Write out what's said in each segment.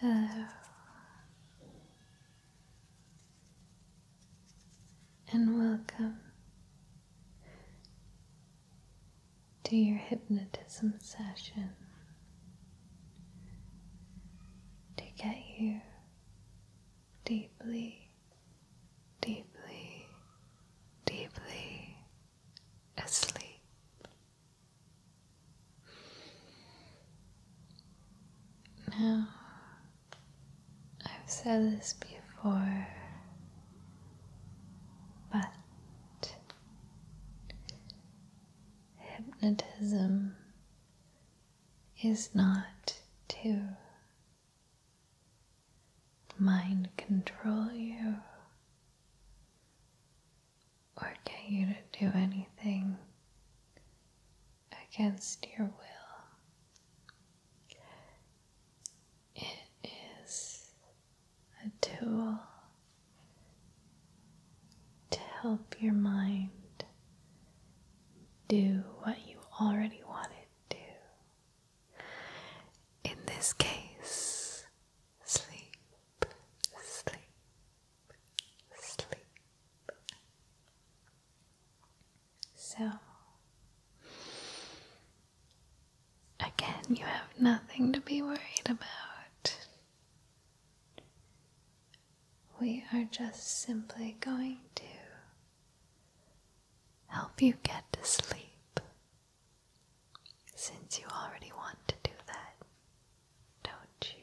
Hello, uh, and welcome to your hypnotism session to get you deeply deeply, deeply asleep. Now, I've said this before, but hypnotism is not to mind control you or get you to do anything against your will. It is a tool to help your mind do what you already want it to in this case, sleep, sleep, sleep. So, again, you have nothing to be worried about. We are just simply going to help you get to sleep. Since you already want to do that, don't you?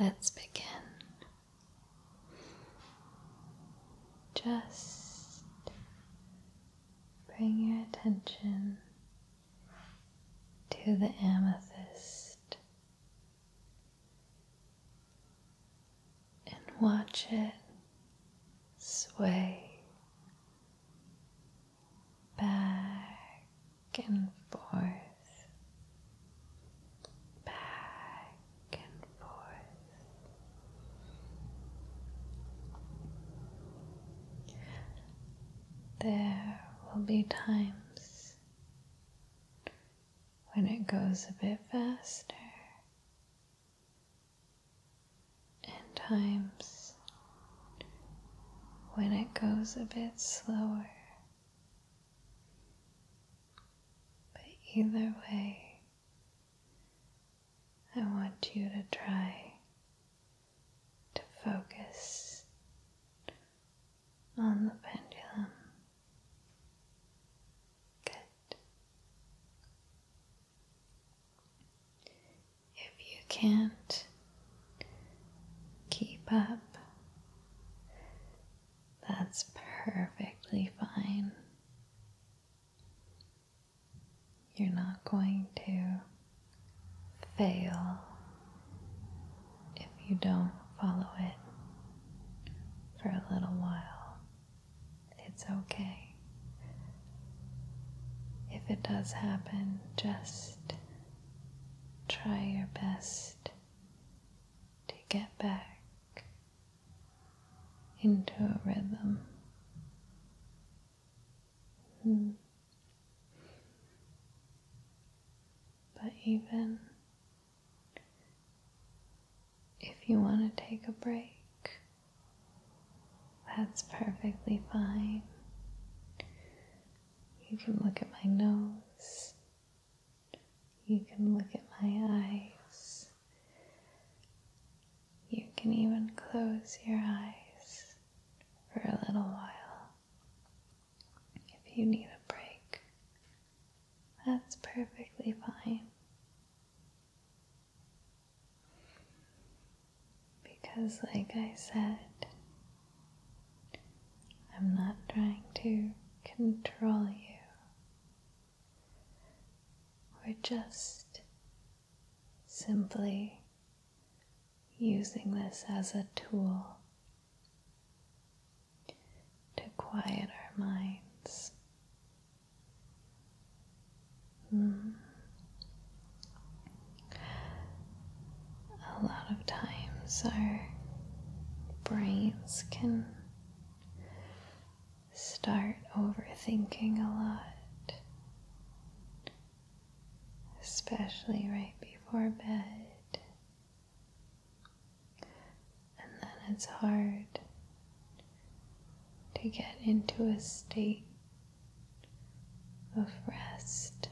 Let's begin. Just bring your attention to the amethyst and watch it sway back and forth, back and forth. There will be times when it goes a bit faster, and times when it goes a bit slower. But either way, I want you to try to focus on the pendulum. Good. If you can't keep up, that's perfectly fine. You're not going to fail if you don't follow it for a little while. It's okay. If it does happen, just try your best to get back into a rhythm. Hmm. But even if you want to take a break, that's perfectly fine. You can look at my nose. You can look at my eyes. You can even close your eyes for a little while if you need a break. That's perfectly fine. Because, like I said, I'm not trying to control you. We're just simply using this as a tool to quiet our minds. Hmm a lot of times our brains can start overthinking a lot, especially right before bed, and then it's hard to get into a state of rest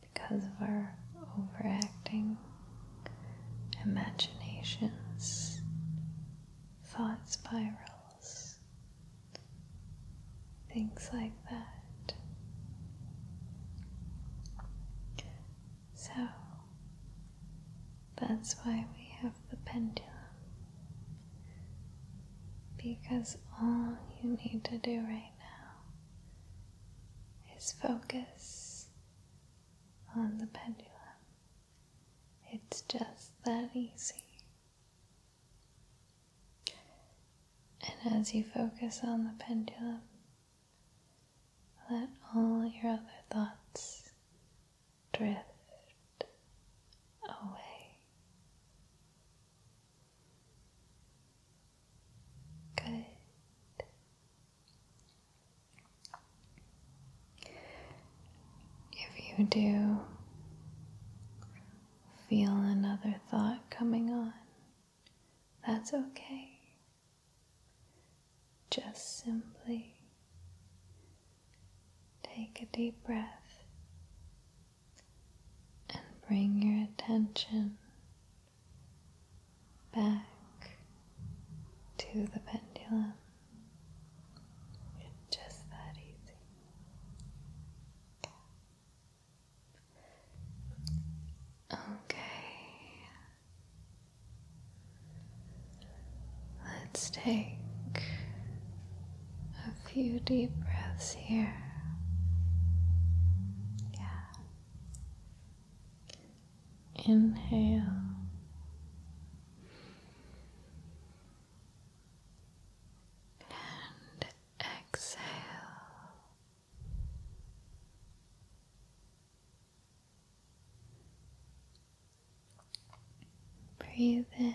because of our overacting imaginations, thought spirals, things like that. So that's why we have the pendulum. Because all you need to do right now is focus on the pendulum. It's just that easy. And as you focus on the pendulum, let all your other thoughts drift away. Good. If you do feel another thought coming on, that's okay. Just simply take a deep breath and bring your attention back to the pendulum. It's just that easy. Okay. Let's take a few deep breaths here. Yeah. Inhale. And exhale. Breathe in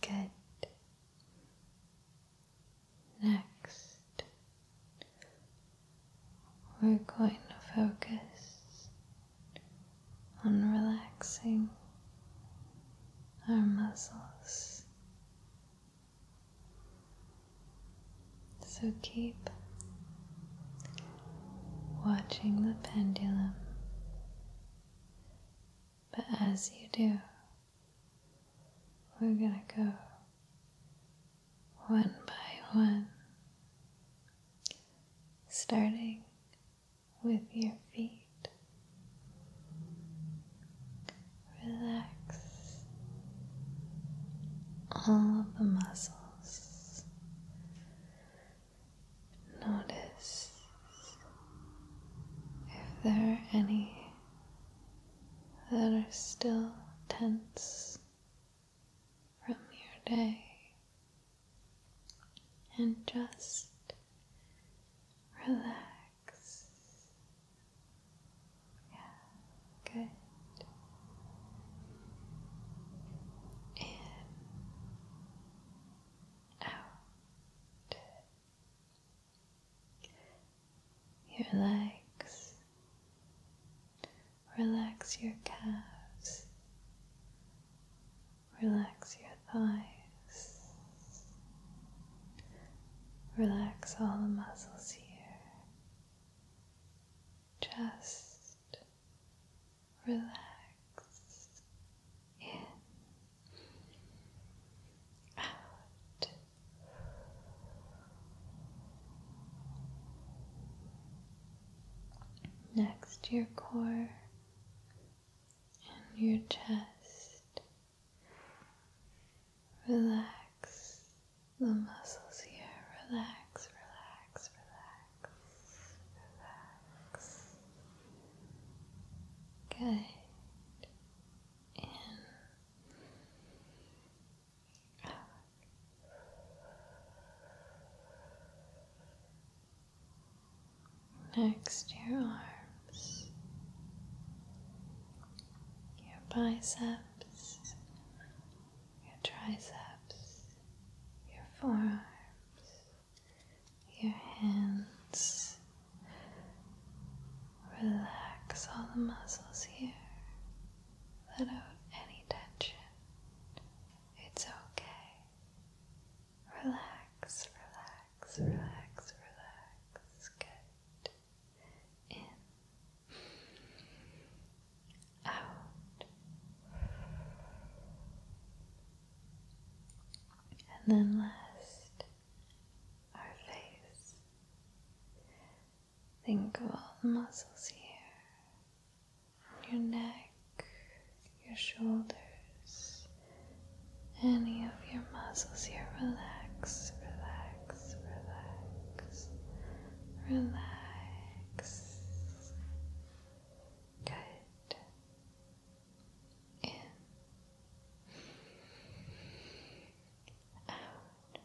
Good. Next, we're going to focus on relaxing our muscles. So keep watching the pendulum. But as you do, we're going to go one by one, starting with your feet. Relax all of the muscles Notice if there are any that are still tense from your day, and just relax. Yeah, good. In out. Your legs, relax your calves, relax your thighs, relax all the muscles here. Just relax in out next your core and your chest relax the muscles here relax relax relax relax. Good. In. Next, your arms, your biceps, your triceps, your forearms, your hands. Relax all the muscles here. Let out any tension. It's okay. Relax, relax, relax, relax. Good. In out. And then last, our face. Think of all the muscles here your neck, your shoulders, any of your muscles here. Relax, relax, relax, relax. Good. In. Out.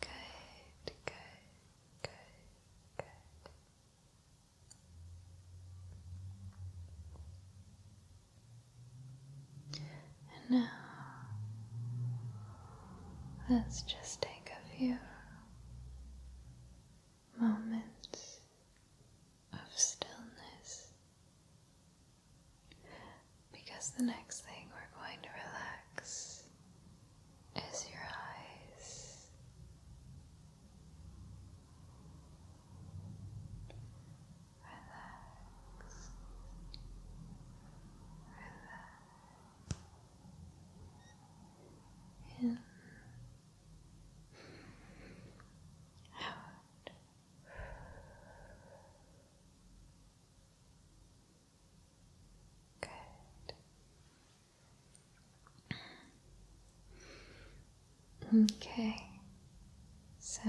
Good, good, good, good. And now, let's just take a few moments of stillness because the next thing we're going to relax is your eyes relax, relax, in, out. Good. Okay, so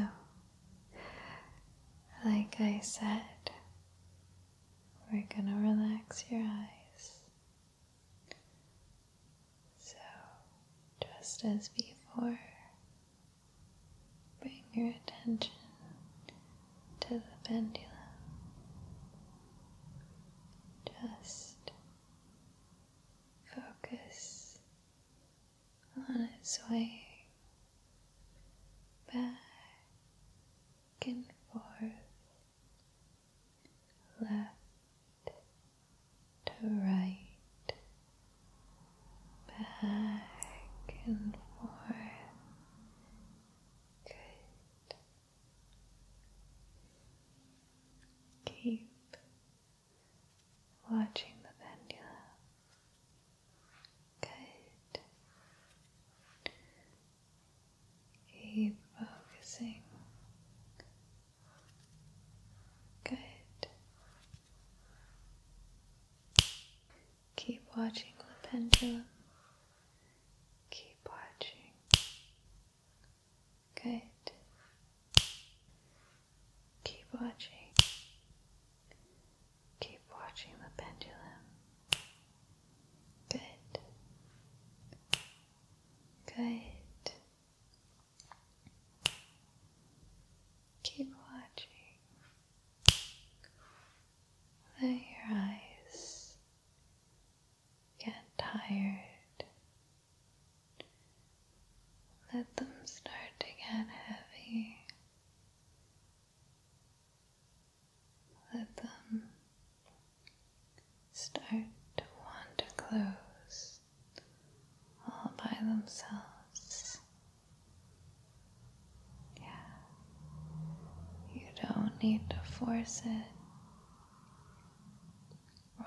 like I said, we're going to relax your eyes. So, just as before, bring your attention to the pendulum. Just focus on its way back and forth, left to right, back and forth. Good. Keep watching the pendulum. Good. Keep focusing. Good. Keep watching the pendulum. Keep watching. Good. Keep watching. Keep watching the pendulum. Good. Good. Keep watching. Let your eyes get tired let them start to get heavy. Let them start to want to close all by themselves. Yeah, you don't need to force it.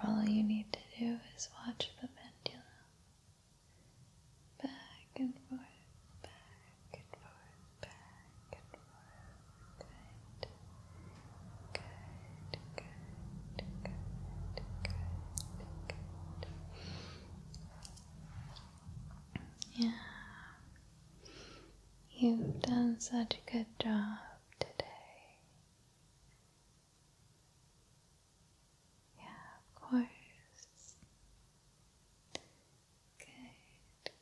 All you need to do is watch the pendulum back and forth, back and forth, back and forth. Good, good, good, good, good, good. Yeah, you've done such a good job today. Yeah, of course. Good,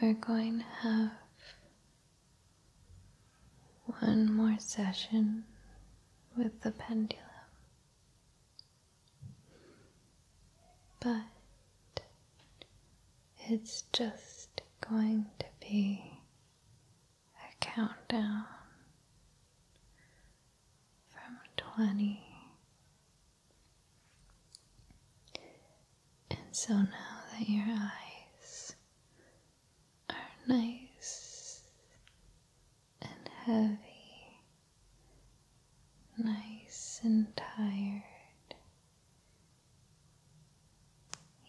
We're going to have one more session with the pendulum. But it's just going to be a countdown from 20. And so now that your eyes are nice and heavy, nice and tired,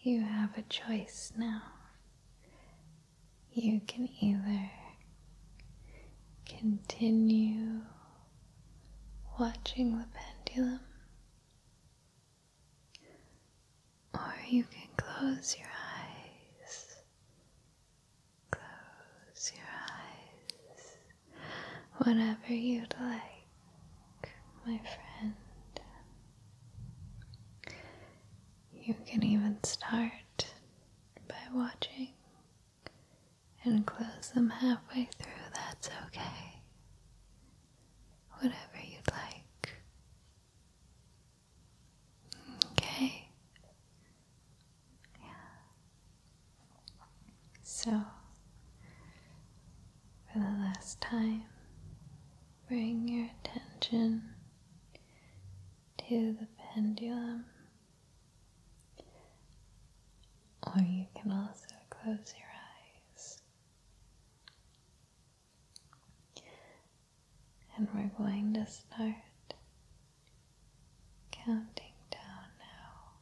you have a choice now. You can either continue watching the pendulum, or you can close your eyes. Close your eyes. Whatever you'd like my friend. You can even start by watching and close them halfway through, that's okay. Whatever you like. Okay. Yeah. So, for the last time, bring your attention to the pendulum, or you can also close your eyes. And we're going to start counting down now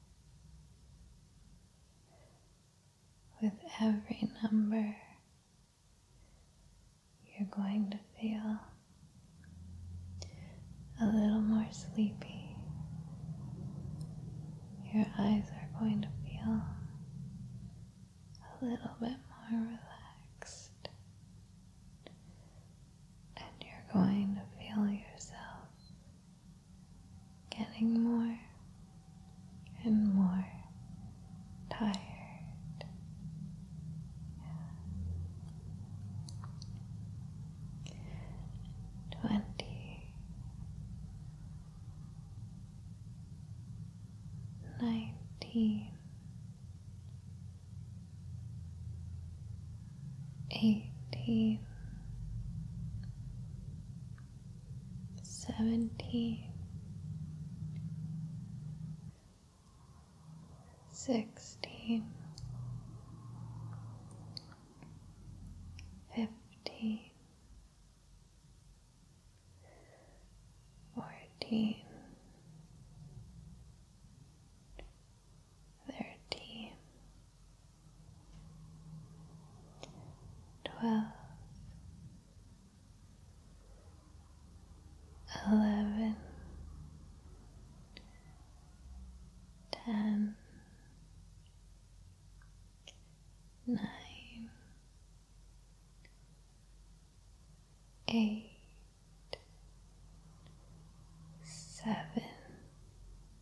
with every number, you're going to feel a little more sleepy. Your eyes are going to feel a little bit more relaxed, and you're going to feel yourself getting more and more tired. Yeah. Twenty nineteen eighteen seventeen, sixteen, fifteen, fourteen. Thirteen, twelve, eleven, ten, nine, eight, seven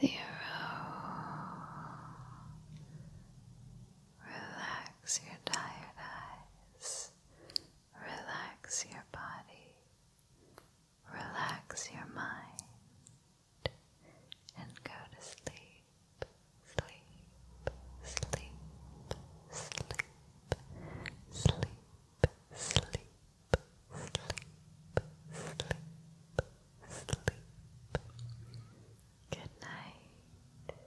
zero. Relax your tired eyes. Relax your body. Relax your mind. And go to sleep. Sleep. Sleep. Sleep. Sleep. Sleep. Sleep. Sleep sleep. Good night.